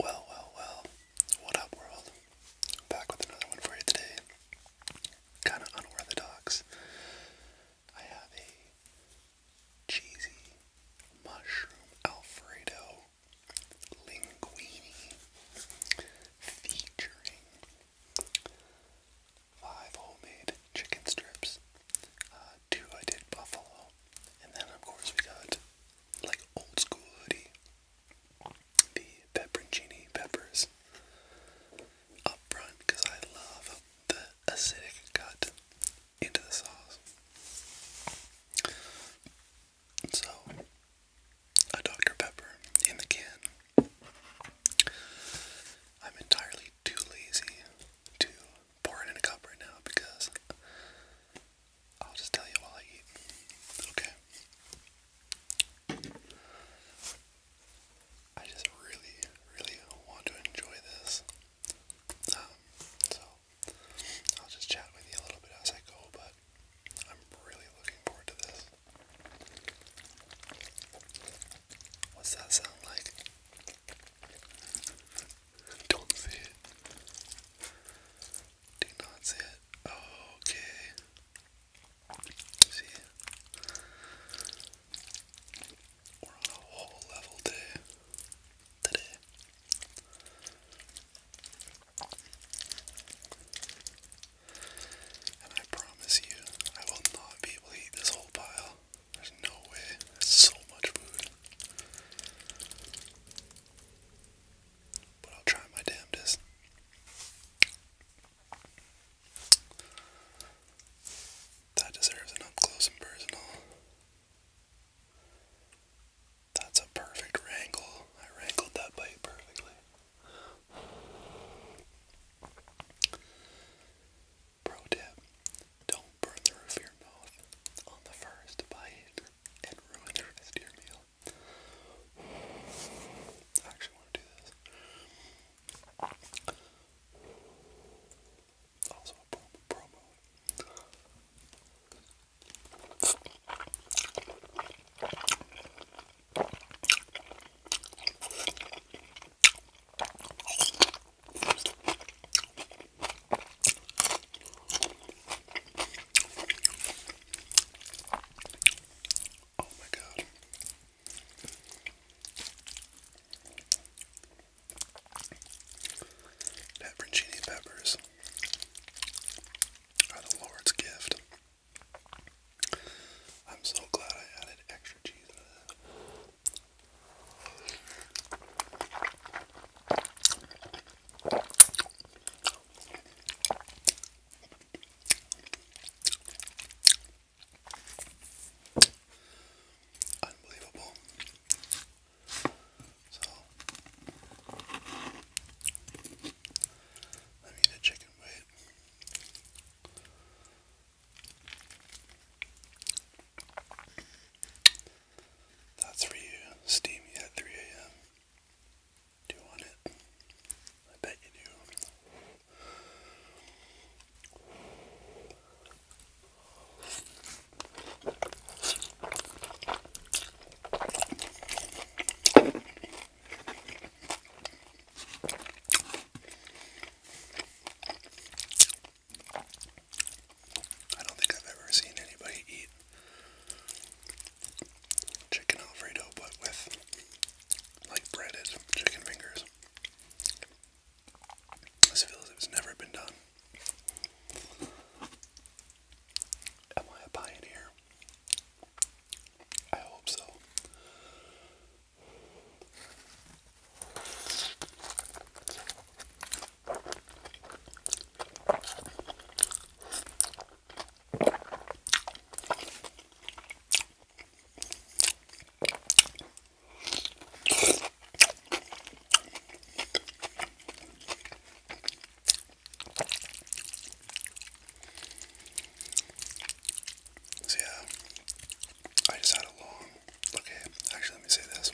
Well, well, well. What up, world? Back with another one for you today. Kind of unorthodox. I have a cheesy mushroom Alfredo linguine featuring five homemade chicken strips, uh, two I did Buffalo, and then of course we got like old school hoodie, the pepperoncini peppers up front because I love the acidic cut into the sauce. So a Dr Pepper in the can. I'm entirely too lazy to pour it in a cup right now because I'll just tell you while I eat. Okay. I just really, really want to enjoy this. Um, so I'll just chat with you a little bit as I go, but I'm really looking forward to this. What's that sound like? Don't see it. Do not see it. okay. See We're on a whole level day today. And I promise you, I will not be able to eat this whole pile. There's no way. There's so much food. But I'll try my damnedest. That deserves an up close and personal. That's a perfect wrangle. I wrangled that bite perfectly. Pro tip don't burn the your mouth on the first bite and ruin your meal. I actually want to do this. Also a promo. Oh my god. Pepperoncini peppers are the Lord's gift. I'm so glad I added extra cheese Unbelievable. So let me get a chicken weight. That's for you, steamy at 3 a.m. Do you want it? I bet you do. I don't think I've ever seen anybody eat chicken Alfredo but with like breaded chicken fingers. This feels it's never been done. Am I a pioneer? I hope so yeah, I just had a long, okay, actually let me say this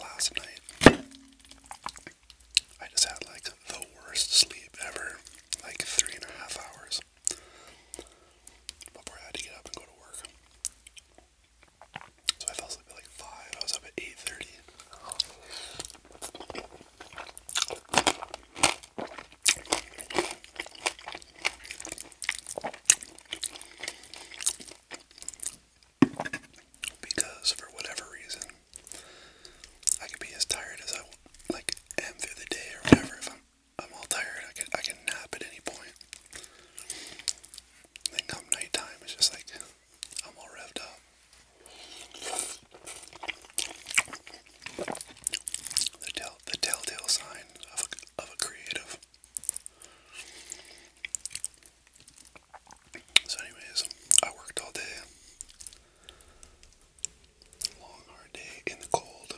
last night. I just had like the worst sleep ever, like three and a half hours before I had to get up and go to work. So I fell asleep at like five. I was up at eight thirty because for whatever reason, I can be as tired as I like am through the day or whatever. If I'm I'm all tired, I can I can nap at any point. Then come nighttime, it's just like I'm all revved up. The tell the telltale sign of a, of a creative. So, anyways, I worked all day. Long, hard day in the cold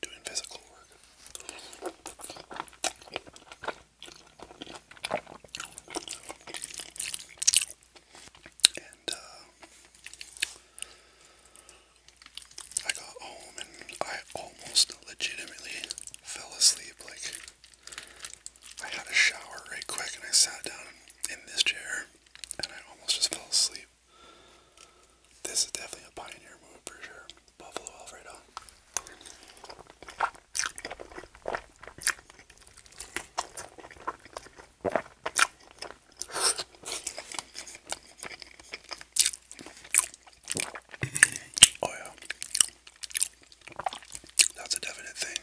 doing physical work. And uh, I got home and I I almost legitimately fell asleep. Like, I had a shower right quick and I sat down in this chair and I almost just fell asleep. This is definitely a pioneer move for sure. Buffalo Alfredo. Oh, yeah. That's a definite thing.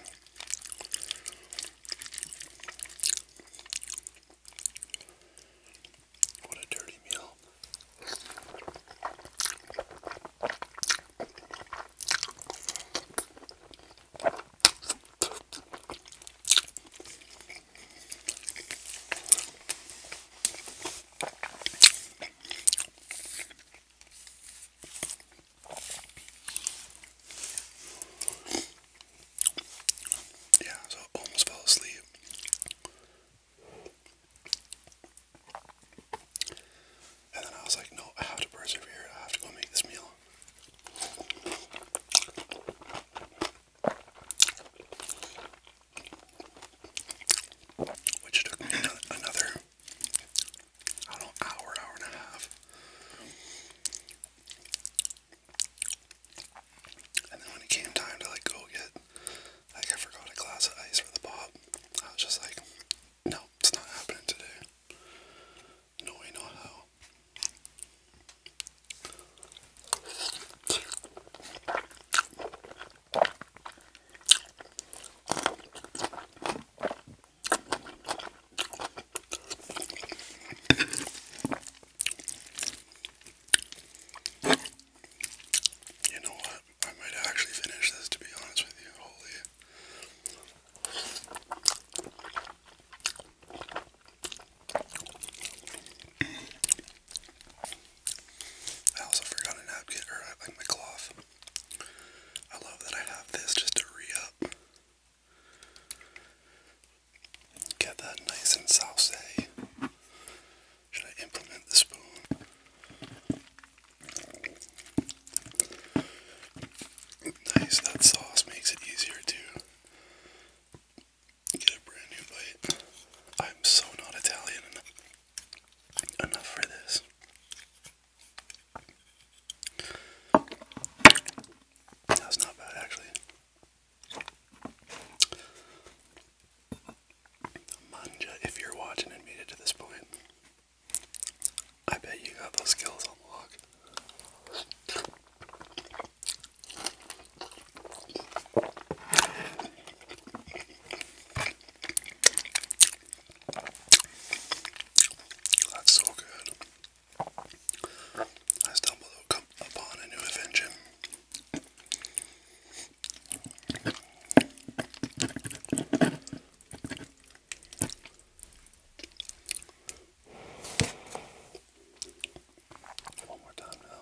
What a dirty meal. Yeah, so I almost fell asleep. And then I was like, no, I have to persevere. I have to go make this meal which took me another, I don't know, hour, hour and a half. And then when it came time to like go get, like I forgot a glass of ice for the pop, I was just like, no, it's not happening today. No way, no how. You know what? I might actually finish this to be honest with you. Holy. I also forgot a napkin, or uh, like my cloth. I love that I have this just to re Get that nice and saucy. Should I implement the spoon? Nice, that sauce makes it easier to get a brand new bite. I'm so not Italian enough enough for this. That's not bad, actually. Manja, if you're watching and made it to this point, I bet you got those skills on lock. That's so good. I stumbled upon a new invention. One more time now.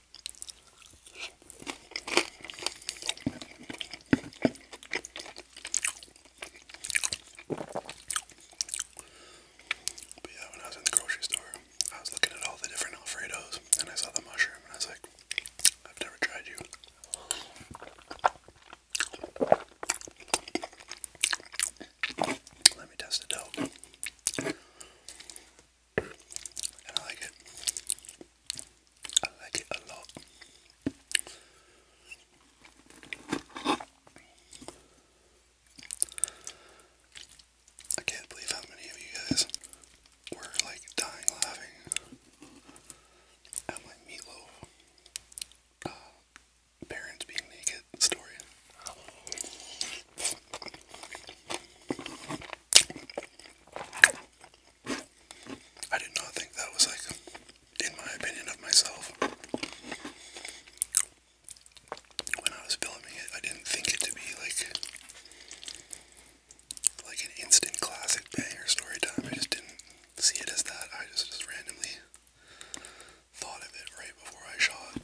yeah, when I was in the grocery store, I was looking at all the different Alfredos and I saw the mushroom and I was like, I've never tried you. Let me test it out. I like it. I like it a lot. I can't believe how many of you guys were like dying laughing at my meatloaf uh, parents being naked story. I did not think that was like, in my opinion of myself, when I was filming it, I didn't think it to be like, like an instant classic banger story time. I just didn't see it as that. I just, just randomly thought of it right before I shot.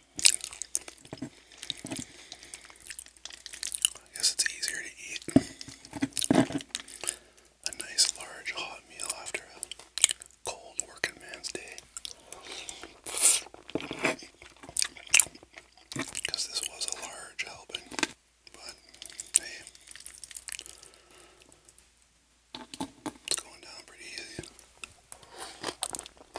I guess it's easier to eat a nice large hot meal after a cold working man's day. Because this was a large helping, but hey, it's going down pretty easy.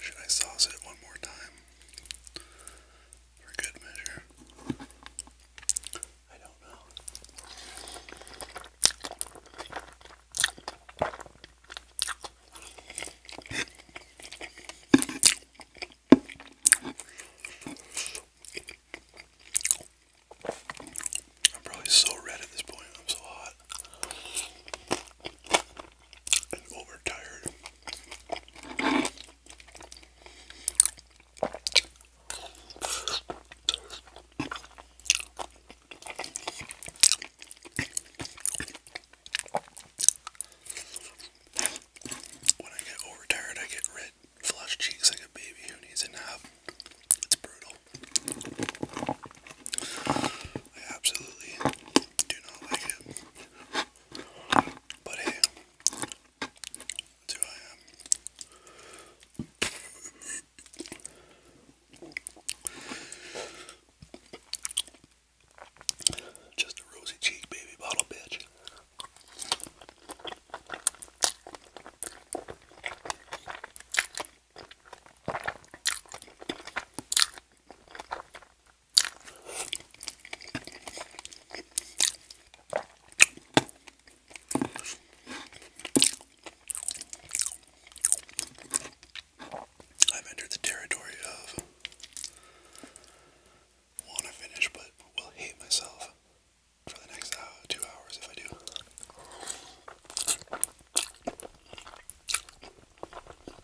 Should I sauce it one more time? For good measure. I don't know. I'm probably so red at this point. I'm so hot lot and When I get overtired, I get red flush cheeks like a baby who needs a nap. It's brutal. I absolutely do not like it. But hey, that's who I am. Um, just a rosy cheek baby bottle bitch. I've entered the territory of want to finish, but will hate myself for the next uh, two hours if I do.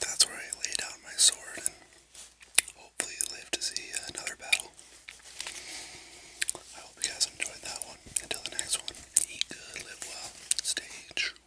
that's where I lay down my sword and hopefully live to see another battle. I hope you guys enjoyed that one. Until the next one, eat good, live well, stay true.